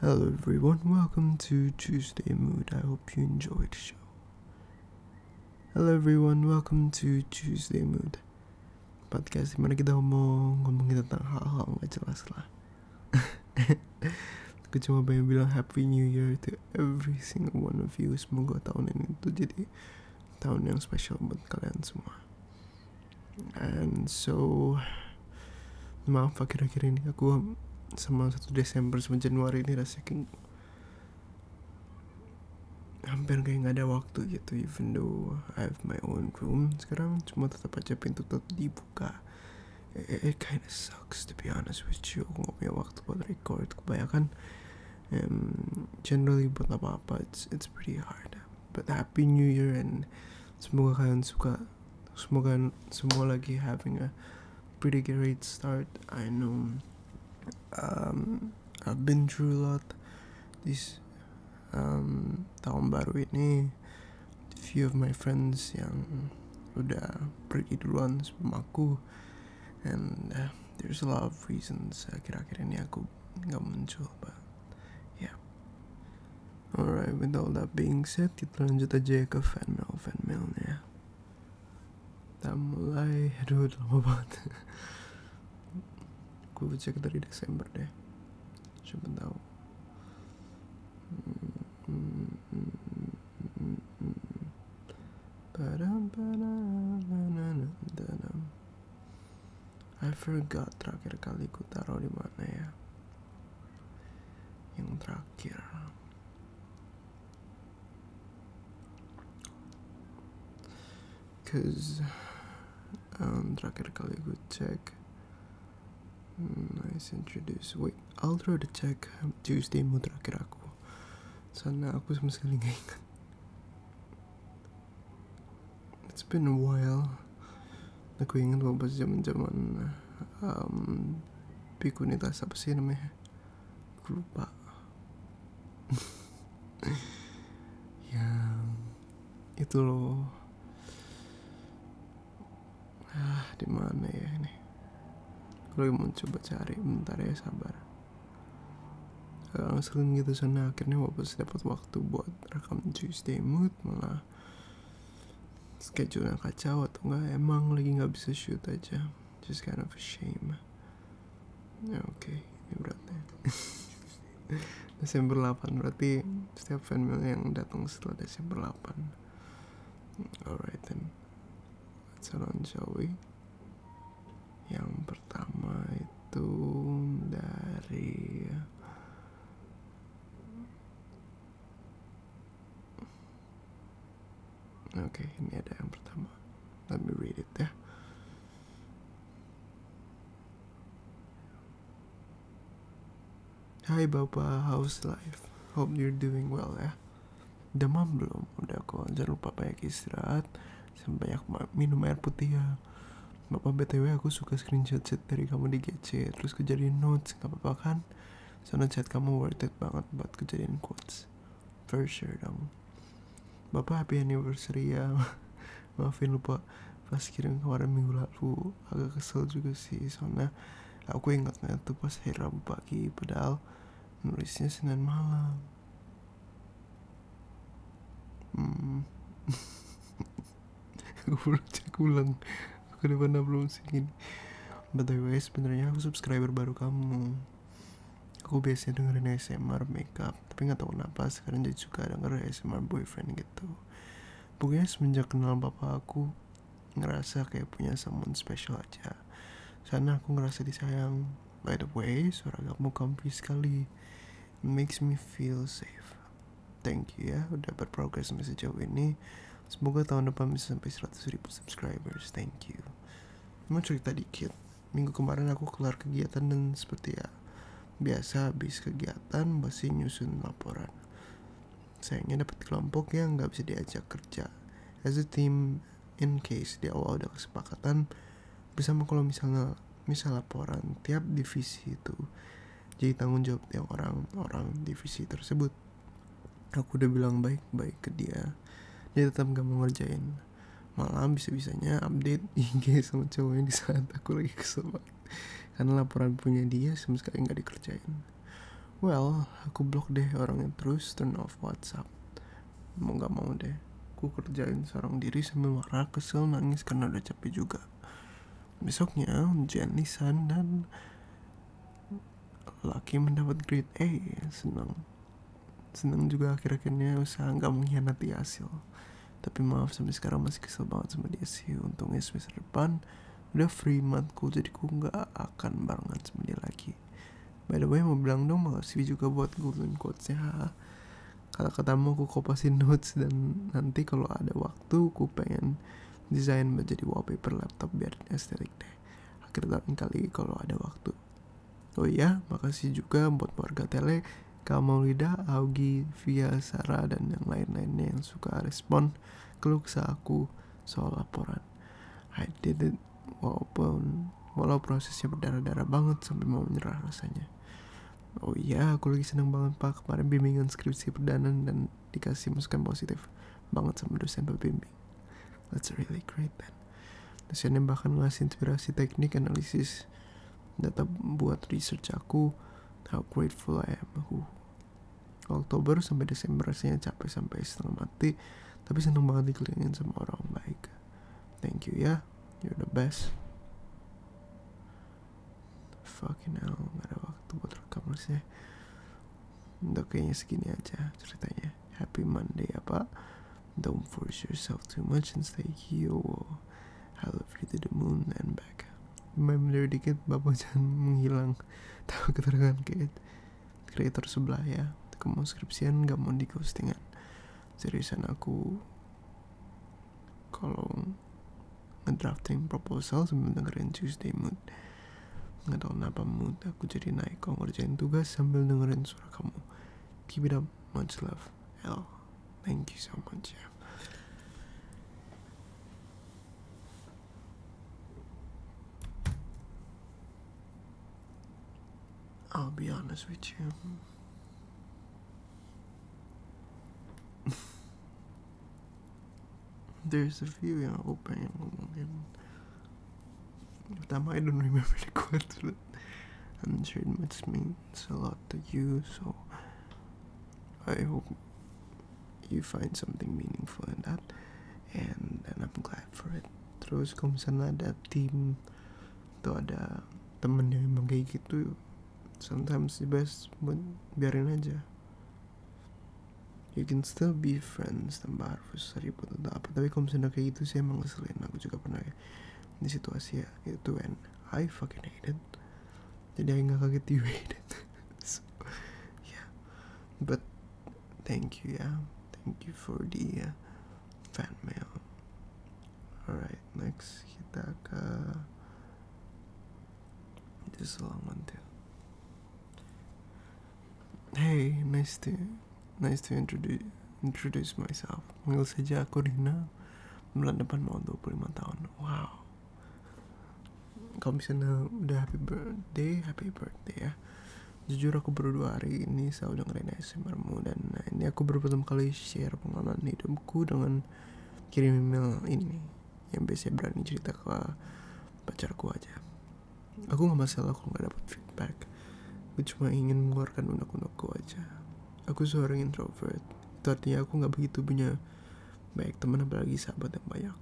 Hello everyone, welcome to Tuesday Mood. I hope you enjoyed the show. Hello everyone, welcome to Tuesday Mood. Podcast dimana kita ngomong ngomongin tentang hal-hal nggak jelas lah. Aku cuma pengen bilang Happy New Year to every single one of you. Semoga tahun ini tuh jadi tahun yang spesial buat kalian semua. and so maaf akhir-akhir ini aku sama satu Desember sama Januari ini rasanya hampir kayak nggak ada waktu gitu even though I have my own room sekarang cuma tetap aja pintu tetap dibuka it, it of sucks to be honest with you aku nggak punya waktu buat record kebanyakan um, generally buat apa-apa it's, it's pretty hard but happy new year and semoga kalian suka semoga semua lagi having a pretty great start. I know um, I've been through a lot this um, tahun baru ini. Few of my friends yang udah pergi duluan sama aku, and uh, there's a lot of reasons akhir-akhir ini aku nggak muncul, but yeah. Alright, with all that being said, kita lanjut aja ya ke fan mail fan mailnya. Ya. Kita mulai, aduh lama banget. Gue cek dari Desember deh. Coba tahu. I forgot terakhir kali ku taruh di mana ya. yung um tracker because um, kali good check nice introduce wait I'll try to check Tuesday mo tracker aku sana aku sama ingat it's been a while aku ingat waktu zaman zaman um, pikunitas apa sih namanya aku lupa yang itu loh ah di mana ya ini aku lagi mau coba cari bentar ya sabar agak sering gitu sana akhirnya Wapes dapat waktu buat rekam Tuesday Mood malah schedule kacau atau enggak emang lagi nggak bisa shoot aja just kind of a shame ya oke okay. ini beratnya Desember 8 berarti setiap fanmail yang datang setelah Desember 8 alright then let's on shall we yang pertama itu dari Oke, okay, ini ada yang pertama. Let me read it ya. Hai Bapak, house life? Hope you're doing well ya. Demam belum? Udah kok, jangan lupa banyak istirahat. Sampai banyak minum air putih ya. Bapak BTW aku suka screenshot dari kamu di GC terus gue notes nggak apa-apa kan soalnya chat kamu worth it banget buat gue jadiin quotes for sure dong bapak happy anniversary ya maafin lupa pas kirim kemarin minggu lalu agak kesel juga sih soalnya aku ingatnya tuh pas hari Rabu pagi padahal nulisnya Senin malam hmm gue belum cek ulang ke depan upload ini btw sebenarnya aku subscriber baru kamu aku biasanya dengerin ASMR makeup tapi nggak tahu kenapa sekarang jadi suka denger ASMR boyfriend gitu pokoknya semenjak kenal bapak aku ngerasa kayak punya someone special aja sana aku ngerasa disayang by the way suara kamu comfy sekali It makes me feel safe thank you ya udah berprogres sampai sejauh ini semoga tahun depan bisa sampai 100 ribu subscribers thank you mau cerita dikit minggu kemarin aku kelar kegiatan dan seperti ya biasa habis kegiatan masih nyusun laporan sayangnya dapat kelompok yang nggak bisa diajak kerja as a team in case di awal udah kesepakatan bersama kalau misalnya misal laporan tiap divisi itu jadi tanggung jawab tiap orang-orang divisi tersebut aku udah bilang baik-baik ke dia dia tetap gak mau ngerjain Malam bisa-bisanya update IG sama cowoknya di saat aku lagi kesel banget karena laporan punya dia sama sekali nggak dikerjain well aku blok deh orangnya terus turn off WhatsApp mau nggak mau deh aku kerjain seorang diri sambil marah kesel nangis karena udah capek juga Besoknya ujian lisan dan Laki mendapat grade A Senang Senang juga akhir-akhirnya usaha nggak mengkhianati hasil Tapi maaf sampai sekarang masih kesel banget sama dia sih Untungnya semester depan Udah free matkul jadi ku nggak akan barengan sama dia lagi By the way mau bilang dong sih juga buat golden quotesnya Kata-katamu aku kopasin notes dan nanti kalau ada waktu ku pengen desain menjadi wallpaper laptop biar estetik deh akhir tahun kali kalau ada waktu oh iya makasih juga buat warga tele Kamalida, Augie, Via, Sarah, dan yang lain-lainnya yang suka respon keluh aku soal laporan. I did it walaupun walau prosesnya berdarah-darah banget sampai mau menyerah rasanya. Oh iya, aku lagi seneng banget pak kemarin bimbingan skripsi perdana dan dikasih masukan positif banget sama dosen pembimbing that's really great man dosennya bahkan ngasih inspirasi teknik analisis data buat research aku how grateful I am aku Oktober sampai Desember rasanya capek sampai setengah mati tapi seneng banget dikelilingin sama orang baik thank you ya you're the best fucking hell nggak ada waktu buat rekam sih. untuk kayaknya segini aja ceritanya happy Monday apa don't force yourself too much and stay here hello free to the moon and back member dikit bapak jangan menghilang tahu keterangan kreator sebelah ya aku skripsian gak mau di ghostingan seriusan aku kalau ngedrafting proposal sambil dengerin Tuesday Mood nggak tahu kenapa mood aku jadi naik kau ngerjain tugas sambil dengerin suara kamu keep it up much love hello, thank you so much ya I'll be honest with you There's a few yang Opa yang ngomongin Pertama, I don't remember the quote but I'm sure it must means a lot to you So I hope you find something meaningful in that And then I'm glad for it Terus kalau misalnya ada tim Atau ada temen yang emang kayak gitu Sometimes the best Biarin aja you can still be friends tanpa harus ribut atau apa tapi kalau misalnya kayak gitu sih emang ngeselin aku juga pernah kayak di situasi ya itu when I fucking hate it jadi aku nggak kaget you hate it so, yeah but thank you ya yeah. thank you for the uh, fan mail alright next kita ke Just a long one too. Hey, nice to, nice to introduce introduce myself. Panggil saja aku Rina. Bulan depan mau 25 tahun. Wow. Kalau bisa udah happy birthday, happy birthday ya. Jujur aku baru dua hari ini selalu dengerin ASMRmu dan ini aku baru pertama kali share pengalaman hidupku dengan kirim email ini yang biasanya berani cerita ke pacarku aja aku nggak masalah kalau nggak dapet feedback aku cuma ingin mengeluarkan unek-unekku aja aku seorang introvert itu artinya aku nggak begitu punya baik teman apalagi sahabat yang banyak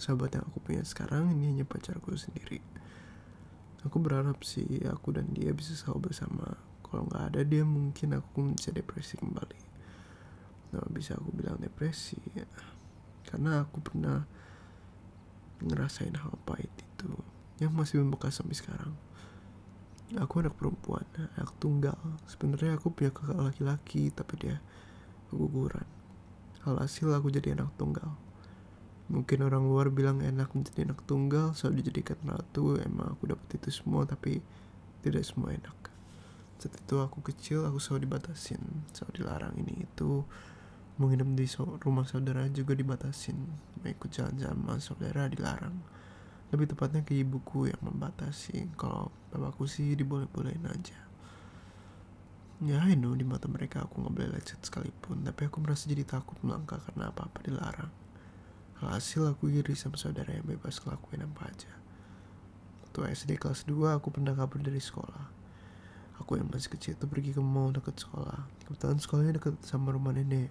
sahabat yang aku punya sekarang ini hanya pacarku sendiri aku berharap sih aku dan dia bisa selalu bersama kalau nggak ada dia mungkin aku bisa depresi kembali nah, bisa aku bilang depresi ya. karena aku pernah ngerasain hal pahit itu yang masih membekas sampai sekarang aku anak perempuan anak tunggal sebenarnya aku punya kakak laki-laki tapi dia keguguran alhasil aku jadi anak tunggal mungkin orang luar bilang enak menjadi anak tunggal selalu dijadikan ratu emang aku dapat itu semua tapi tidak semua enak saat itu aku kecil aku selalu dibatasin selalu dilarang ini itu menginap di so rumah saudara juga dibatasin mengikut jalan-jalan sama saudara dilarang lebih tepatnya ke ibuku yang membatasi kalau bapakku sih diboleh-bolehin aja ya I know di mata mereka aku nggak boleh lecet sekalipun tapi aku merasa jadi takut melangkah karena apa-apa dilarang Hasil aku iri sama saudara yang bebas ngelakuin apa aja tuh SD kelas 2 aku pernah kabur dari sekolah. Aku yang masih kecil itu pergi ke mall dekat sekolah. Kebetulan sekolahnya dekat sama rumah nenek.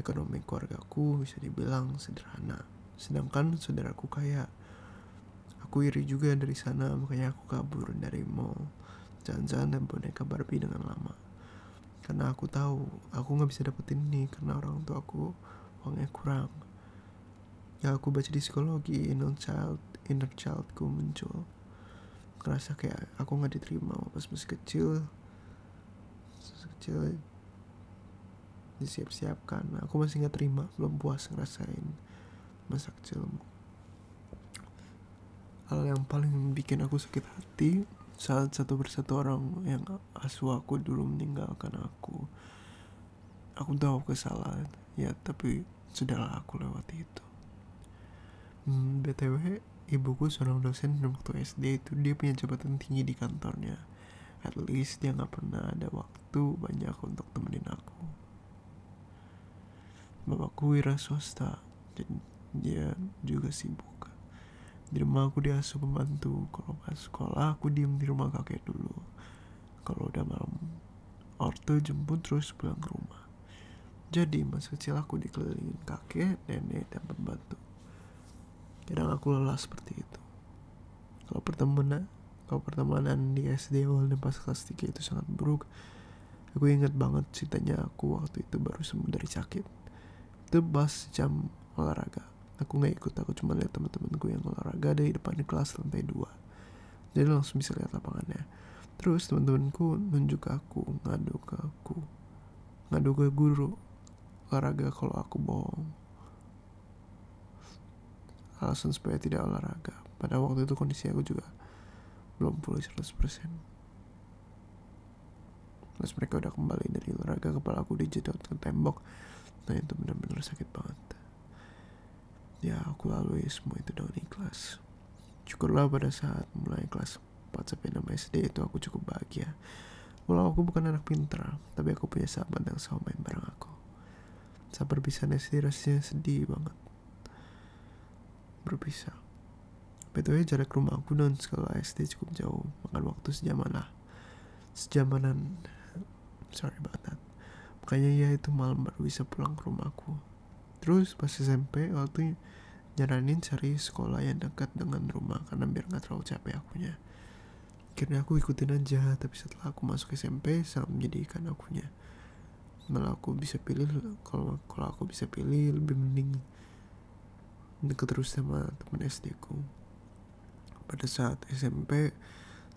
Ekonomi keluarga aku bisa dibilang sederhana. Sedangkan saudaraku kaya. Aku iri juga dari sana, makanya aku kabur dari mall. Jalan-jalan dan boneka Barbie dengan lama. Karena aku tahu aku nggak bisa dapetin ini karena orang tua aku uangnya kurang yang aku baca di psikologi inner child inner childku muncul ngerasa kayak aku nggak diterima pas masih kecil masih kecil disiap-siapkan nah, aku masih nggak terima belum puas ngerasain masa kecil. hal yang paling bikin aku sakit hati saat satu persatu orang yang asuh aku dulu meninggalkan aku aku tahu kesalahan ya tapi sudahlah aku lewati itu hmm, btw ibuku seorang dosen dan waktu SD itu dia punya jabatan tinggi di kantornya at least dia nggak pernah ada waktu banyak untuk temenin aku bapakku wira swasta jadi dia juga sibuk di rumah aku dia asuh pembantu kalau pas sekolah aku diem di rumah kakek dulu kalau udah malam ortu jemput terus pulang ke rumah jadi masa kecil aku dikelilingin kakek nenek dan pembantu kadang aku lelah seperti itu kalau pertemanan kalau pertemanan di SD awal dan pas kelas 3 itu sangat buruk aku ingat banget ceritanya aku waktu itu baru sembuh dari sakit itu pas jam olahraga aku nggak ikut aku cuma lihat teman-temanku yang olahraga dari depan kelas lantai dua jadi langsung bisa lihat lapangannya terus teman-temanku nunjuk ke aku ngadu ke aku ngadu ke guru olahraga kalau aku bohong alasan supaya tidak olahraga pada waktu itu kondisi aku juga belum pulih persen Terus mereka udah kembali dari olahraga kepala aku dijedot ke tembok. Nah itu benar-benar sakit banget. Ya aku lalui semua itu dengan ikhlas Syukurlah pada saat mulai kelas 4 sampai 6 SD itu aku cukup bahagia Walau aku bukan anak pintar Tapi aku punya sahabat yang selalu main bareng aku Saat berpisah SD rasanya sedih banget Berpisah Betulnya jarak rumah aku dan sekolah SD cukup jauh Makan waktu sejaman lah Sejamanan, sorry about that. Makanya ya itu malam baru bisa pulang ke rumahku. Terus pas SMP waktu nyaranin cari sekolah yang dekat dengan rumah karena biar nggak terlalu capek akunya. Akhirnya aku ikutin aja, tapi setelah aku masuk SMP sangat menjadikan akunya. Malah aku bisa pilih kalau kalau aku bisa pilih lebih mending deket terus sama temen SD ku pada saat SMP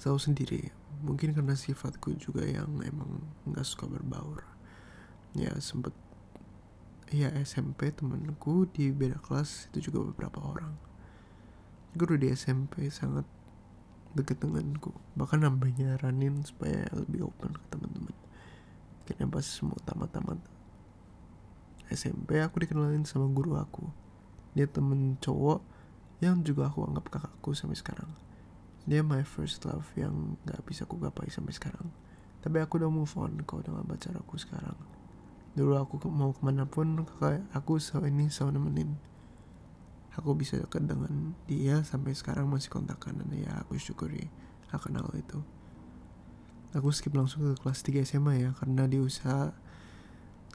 selalu sendiri mungkin karena sifatku juga yang emang nggak suka berbaur ya sempet ya SMP temanku di beda kelas itu juga beberapa orang guru di SMP sangat deket denganku bahkan nambahnya nyaranin supaya lebih open ke teman-teman Karena pas semua tamat-tamat SMP aku dikenalin sama guru aku dia temen cowok yang juga aku anggap kakakku sampai sekarang dia my first love yang nggak bisa aku gapai sampai sekarang tapi aku udah move on kok dengan aku sekarang dulu aku mau kemana pun kakak aku selalu ini selalu nemenin aku bisa dekat dengan dia sampai sekarang masih kontakan dan ya aku syukuri akan hal itu aku skip langsung ke kelas 3 SMA ya karena di usaha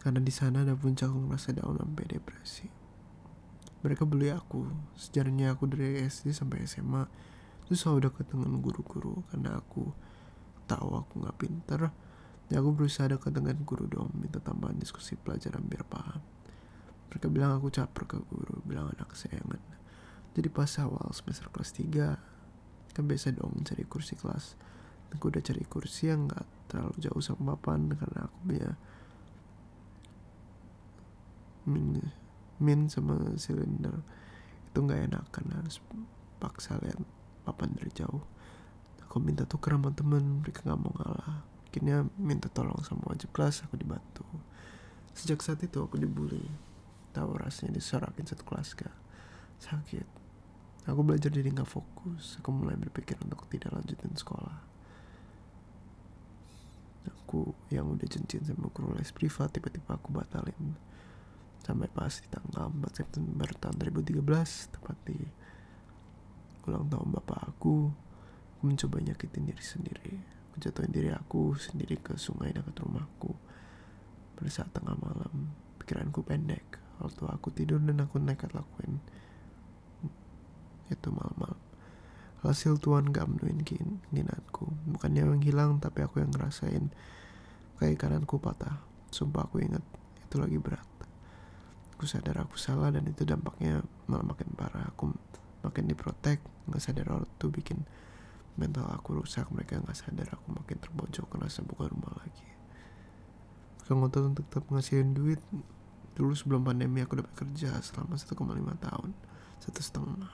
karena di sana ada puncak merasa down sampai depresi. Mereka beli aku, sejarahnya aku dari SD sampai SMA. Terus selalu dekat dengan guru-guru karena aku tahu aku nggak pinter. Ya aku berusaha dekat dengan guru dong, minta tambahan diskusi pelajaran biar paham. Mereka bilang aku caper ke guru, bilang anak sayangan. Jadi pas awal semester kelas 3, kan biasa dong cari kursi kelas. Aku udah cari kursi yang gak nggak terlalu jauh sama papan karena aku punya min min sama silinder itu nggak enak karena harus paksa lihat papan dari jauh aku minta tuker sama temen mereka nggak mau ngalah akhirnya minta tolong sama wajib kelas aku dibantu sejak saat itu aku dibully tahu rasanya disorakin satu kelas gak sakit Aku belajar jadi nggak fokus. Aku mulai berpikir untuk tidak lanjutin sekolah. Aku yang udah cincin sama guru les privat tiba-tiba aku batalin sampai pas di tanggal 4 September tahun 2013 tepat di ulang tahun bapak aku aku mencoba nyakitin diri sendiri aku jatuhin diri aku sendiri ke sungai dekat rumahku pada saat tengah malam pikiranku pendek waktu aku tidur dan aku nekat lakuin itu malam-malam hasil tuan gak menuin keinginanku bukannya yang hilang tapi aku yang ngerasain kayak kananku patah sumpah aku inget itu lagi berat aku sadar aku salah dan itu dampaknya malah makin parah aku makin diprotek nggak sadar orang tuh bikin mental aku rusak mereka nggak sadar aku makin terbojok ngerasa bukan rumah lagi Pakai ngotot untuk tetap ngasihin duit. Dulu sebelum pandemi aku dapat kerja selama 1,5 tahun. Satu setengah.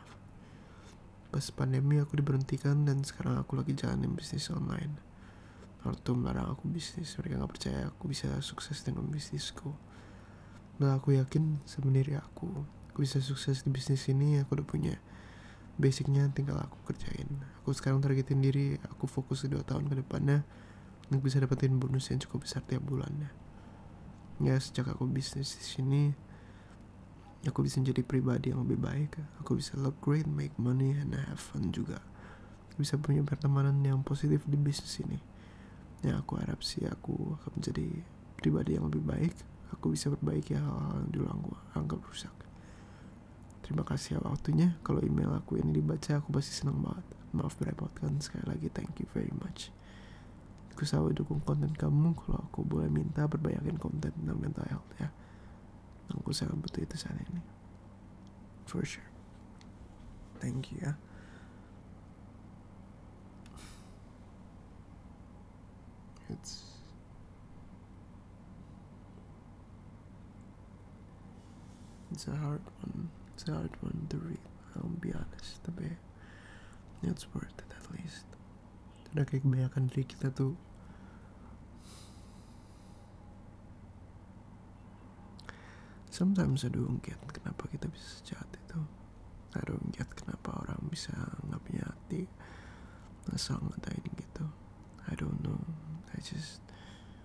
Pas pandemi aku diberhentikan dan sekarang aku lagi jalanin bisnis online. Naruto melarang aku bisnis. Mereka nggak percaya aku bisa sukses dengan bisnisku. Nah aku yakin sebenarnya aku. Aku bisa sukses di bisnis ini, aku udah punya basicnya tinggal aku kerjain aku sekarang targetin diri aku fokus ke dua tahun ke depannya untuk bisa dapetin bonus yang cukup besar tiap bulannya ya sejak aku bisnis di sini aku bisa jadi pribadi yang lebih baik aku bisa look great make money and have fun juga aku bisa punya pertemanan yang positif di bisnis ini ya aku harap sih aku akan menjadi pribadi yang lebih baik aku bisa perbaiki hal-hal yang dulu aku anggap rusak Terima kasih ya waktunya. Kalau email aku ini dibaca, aku pasti senang banget. Maaf merepotkan sekali lagi. Thank you very much. Aku selalu dukung konten kamu. Kalau aku boleh minta, perbanyakin konten tentang mental health ya. Aku sangat butuh itu saat ini. For sure. Thank you ya. It's It's a hard one. It's a hard one to read. I'll be honest, tapi it's worth it at least. Udah kayak kebanyakan dari kita tuh Sometimes I don't get kenapa kita bisa sejahat itu I don't get kenapa orang bisa nggak punya hati Ngesal ngatain gitu I don't know I just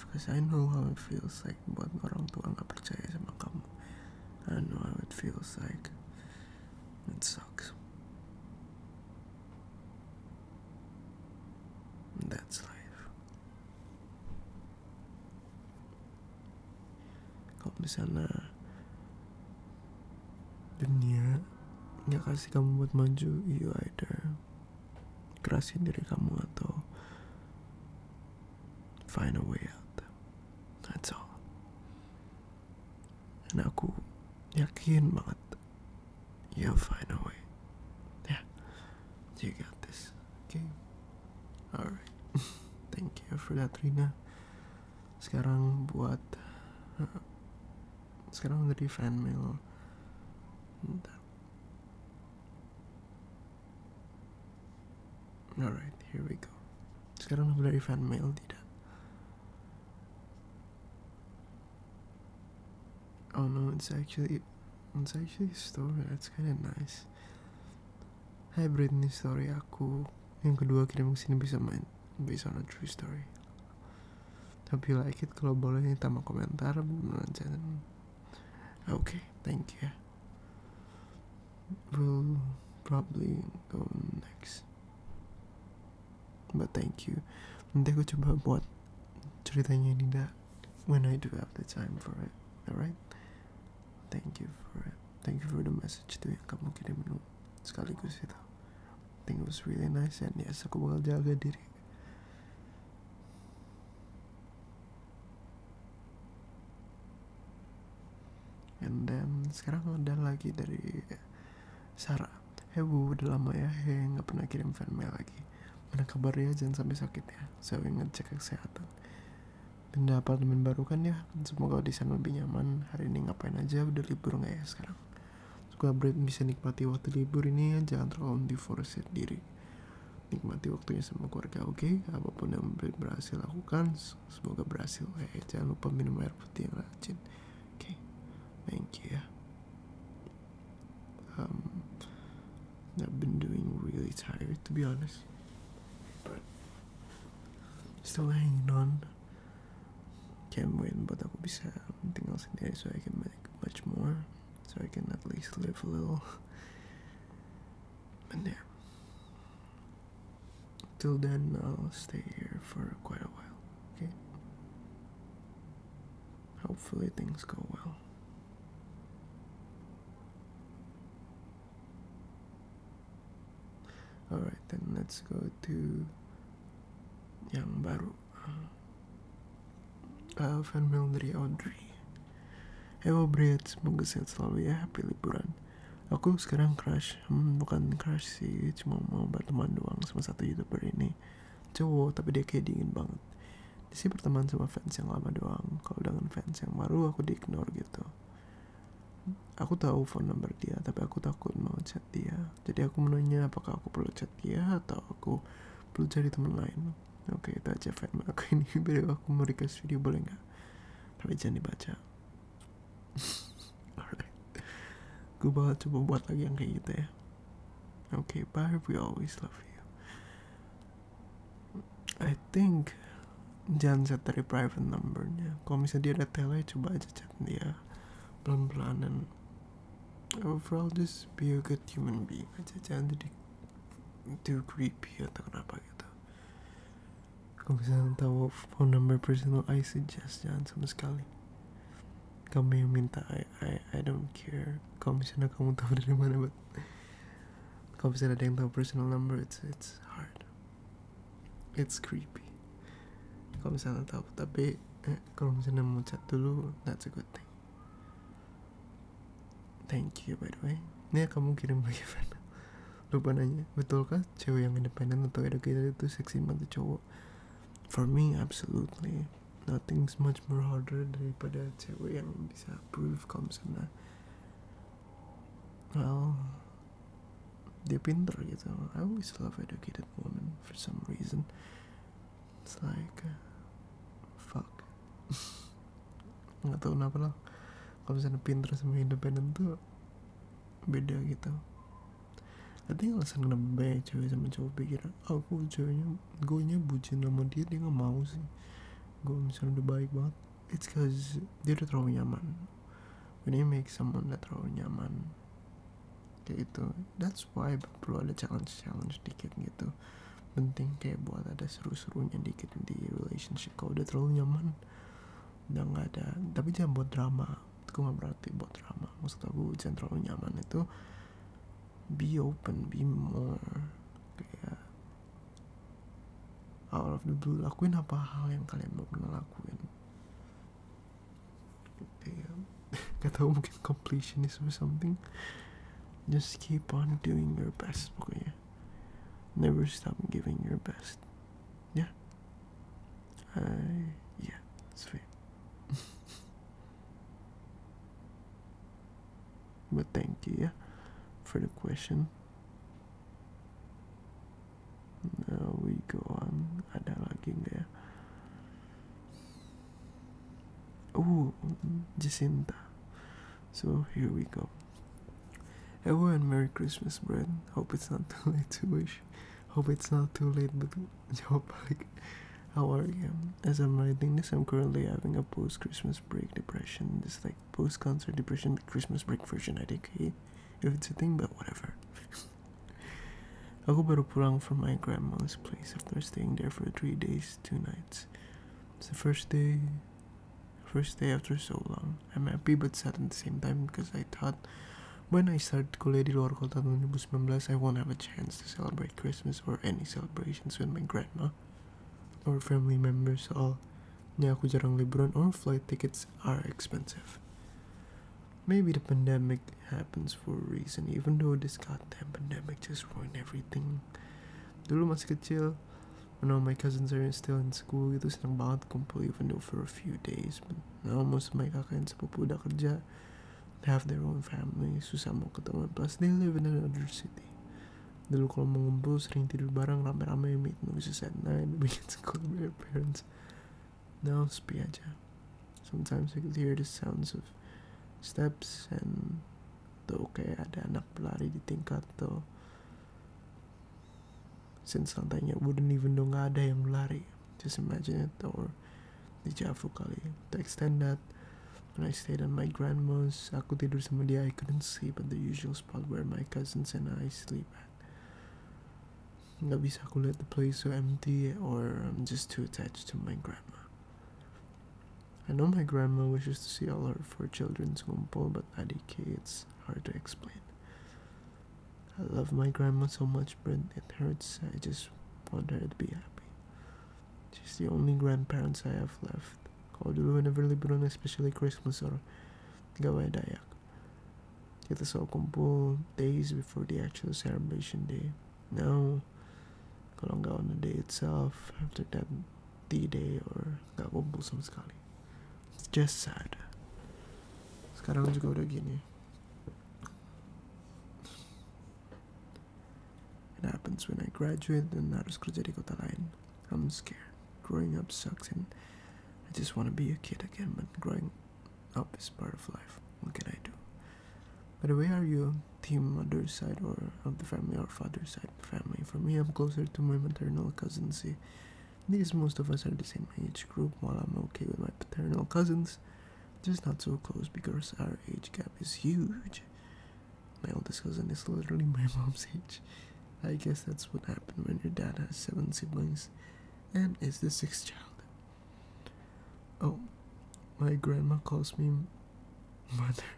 safe Cause I know how it feels like buat orang tua nggak percaya sama kamu I know how it feels like It sucks That's life Kalau misalnya Dunia nggak kasih kamu buat maju You either Kerasin diri kamu atau find a way out. That's all. And ako, yakin mga You'll find a way. Yeah. You got this. Okay? Alright. Thank you for that, Rina. Sekarang buat... Uh, sekarang dari fan mail. Bentar. Alright, here we go. Sekarang udah dari fan mail tidak? Oh no, it's actually it's actually a story. That's kind of nice. Hi Britney story aku yang kedua kirim ke sini bisa main based on a true story. Hope you like it. Kalau boleh tambah komentar, beneran channel. Oke, okay, thank you. we will probably go next. But thank you. Nanti aku coba buat ceritanya Dinda when I do have the time for it. Alright? Thank you for it. Thank you for the message tuh yang kamu kirim lu sekaligus itu. I think it was really nice and yes aku bakal jaga diri. And then sekarang ada lagi dari Sarah. Hey bu, udah lama ya, hey nggak pernah kirim fan mail lagi. Mana kabar ya, jangan sampai sakit ya. Saya so, ingat cek kesehatan. Pindah apartemen baru kan ya, semoga di sana lebih nyaman. Hari ini ngapain aja, udah libur nggak ya sekarang? Semoga Brad bisa nikmati waktu libur ini, ya. jangan terlalu diforsir diri nikmati waktunya sama keluarga oke okay? apapun yang berhasil lakukan semoga berhasil eh, eh jangan lupa minum air putih yang rajin oke okay? thank you ya um I've been doing really tired to be honest but still hanging on can't wait but aku bisa tinggal sendiri so I can make much more so I can at least live a little and yeah till then I'll stay here for quite a while okay hopefully things go well all right then let's go to yang baru uh, Van Mildry Audrey Hello Brad, semoga sehat selalu ya, happy liburan. Aku sekarang crush, hmm, bukan crush sih, cuma mau berteman doang sama satu youtuber ini. Cowok, tapi dia kayak dingin banget. Dia sih berteman sama fans yang lama doang, kalau dengan fans yang baru aku di ignore gitu. Aku tahu phone number dia, tapi aku takut mau chat dia. Jadi aku menanya apakah aku perlu chat dia atau aku perlu cari teman lain oke okay, itu aja fan aku ini biar aku mau request video boleh nggak tapi jangan dibaca alright gue bakal coba buat lagi yang kayak gitu ya oke okay, bye we always love you I think jangan set dari private numbernya kalau misalnya dia ada tele coba aja chat dia pelan-pelan overall just be a good human being aja jangan jadi Duke Ripiata kenapa gitu kalau bisa tahu phone number personal I suggest jangan sama sekali kamu yang minta I, I, I don't care kalau misalnya kamu tahu dari mana but kalau misalnya ada yang tahu personal number it's it's hard it's creepy kalau misalnya tahu tapi eh, kalau misalnya mau chat dulu that's a good thing Thank you by the way. Ini kamu kirim bagaimana? Lupa nanya, betulkah cewek yang independen atau educated itu seksi banget cowok? For me, absolutely. Nothing's much more harder daripada cewek yang bisa prove kalau misalnya well dia pinter gitu I always love educated women for some reason it's like uh, fuck nggak tahu kenapa lah kalau misalnya Pinterest sama independen tuh beda gitu Nanti alasan kenapa cewek sama cowok pikir aku ceweknya gue nya bucin sama dia dia nggak mau sih gue misalnya udah baik banget it's cause dia udah terlalu nyaman when you make someone that terlalu nyaman kayak itu that's why perlu ada challenge challenge dikit gitu penting kayak buat ada seru-serunya dikit di relationship kalau udah terlalu nyaman udah nggak ada tapi jangan buat drama itu nggak berarti buat drama maksud aku jangan terlalu nyaman itu be open be more kayak out of the blue lakuin apa hal yang kalian belum pernah lakuin kayak gak tau mungkin completionism or something just keep on doing your best pokoknya Never stop giving your best. Yeah. I uh, yeah, sweet. but thank you, for the question. Now we go on. Ada lagi nggak ya? Oh, Jacinta. So here we go. Everyone, Merry Christmas, Brad. Hope it's not too late to wish. Hope it's not too late, but hope like, how are you? As I'm writing this, I'm currently having a post-Christmas break depression. This like post-concert depression, the Christmas break version. I think eh? if it's a thing, but whatever. Ako baru pulang from my grandma's place after staying there for three days, two nights. It's the first day First day after so long. I'm happy but sad at the same time because I thought when I start to Kuliah di luar kota 2019, I won't have a chance to celebrate Christmas or any celebrations with my grandma or family members soalnya aku jarang liburan or flight tickets are expensive. Maybe the pandemic happens for a reason even though this goddamn pandemic just ruined everything. Dulu masih kecil, school. I know my cousins are still in school. Ito silang bakit kong play even though for a few days. But now most my cousins po po nakarja. have their own families. Susama ko taman. Plus, they live in another city. Dulu kalau mau ngumpul sering tidur bareng rame-rame meet noises at night weekend school with our parents. Now sepi Sometimes I could hear the sounds of steps and tuh kayak ada anak pelari di tingkat tuh since lantainya wouldn't even know nggak ada yang just imagine it or the jafu. kali to extend that when I stayed at my grandma's aku tidur sama dia I couldn't sleep at the usual spot where my cousins and I sleep at nggak bisa aku lihat the place so empty or I'm just too attached to my grandma I know my grandma wishes to see all her four children's gumpo, but at EK it's hard to explain. I love my grandma so much, but it hurts. I just want her to be happy. She's the only grandparents I have left. Kau dulu never liburan, especially Christmas or gawai dayak. Kita selalu kumpul days before the actual celebration day. Now, Kalonga on the day itself, after that D Day or kabobusan sekali. It's just sad. Sekarang juga udah gini. It happens when I graduate and harus kerja di kota lain. I'm scared. Growing up sucks and I just want to be a kid again, but growing up is part of life. What can I do? By the way, are you team mother's side or of the family or father's side family. For me, I'm closer to my maternal cousins. these most of us are the same age group. While I'm okay with my paternal cousins, just not so close because our age gap is huge. My oldest cousin is literally my mom's age. I guess that's what happened when your dad has seven siblings, and is the sixth child. Oh, my grandma calls me mother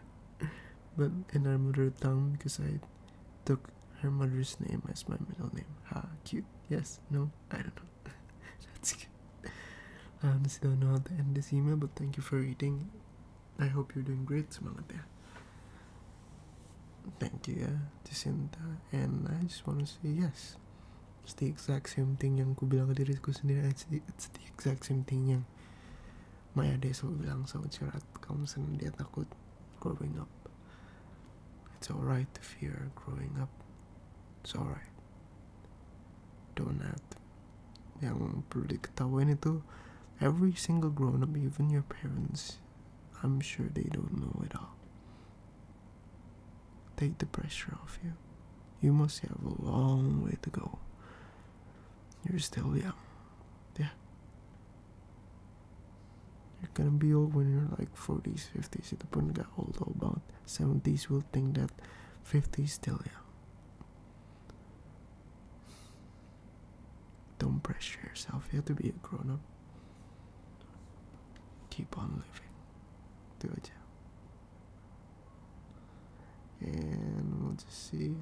but in her mother tongue because I took her mother's name as my middle name. Ha, cute. Yes, no, I don't know. That's good. I honestly don't know how to end this email, but thank you for reading. I hope you're doing great, Samalatea. Thank you, yeah, Jacinta. And I just want to say yes. It's the exact same thing yang ku bilang ke diriku sendiri. It's the, it's the exact same thing yang my long, so Maya Deso bilang sa Uchirat Council dia takut growing up. It's alright to fear growing up. It's alright. Don't Donut. Yang perlu diketahuin itu every single grown up, even your parents, I'm sure they don't know it all. Take the pressure off you. You must have a long way to go. You're still young. Yeah. You're gonna be old when you're like 40s, 50s. If the person got old about 70s, will think that 50s still young. Don't pressure yourself. You have to be a grown up. Keep on living. Do it and we'll just see.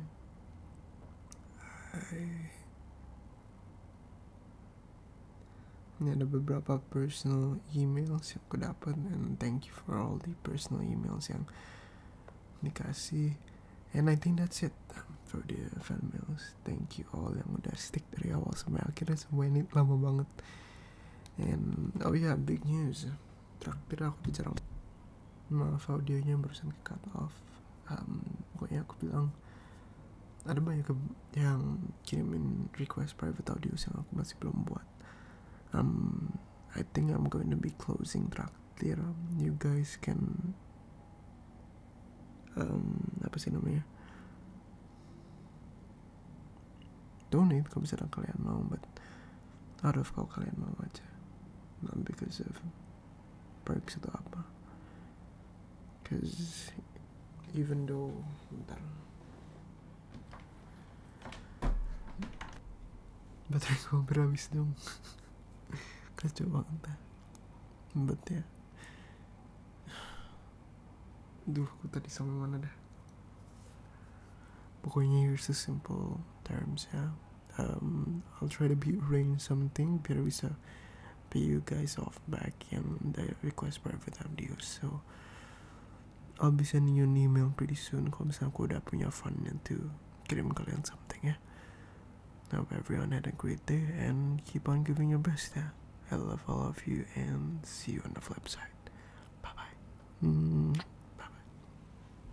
Ini ada beberapa personal emails yang aku dapat and thank you for all the personal emails yang dikasih. And I think that's it um, for the fan mails. Thank you all yang udah stick dari awal sampai akhirnya sampai ini lama banget. And oh yeah, big news. traktir aku bicara maaf audionya barusan ke cut off um, pokoknya aku bilang ada banyak yang kirimin request private audios yang aku masih belum buat um, I think I'm going to be closing traktir you guys can um, apa sih namanya donate kalau misalnya kalian mau but aduh kau kalian mau aja Not because of Perks atau apa Cause Even though Bentar Baterai gue berhabis dong Kacau banget But ya yeah. Duh, aku tadi sama mana dah? Pokoknya here's the simple terms ya. Yeah. um, I'll try to bring something. something there is a pay you guys off back and the request for advertisement deals so I'll be sending you an email pretty soon kalau i aku udah punya fundnya to kirim kalian something ya I hope everyone had a great day and keep on giving your best yeah I love all of you and see you on the flip side bye bye mm, bye bye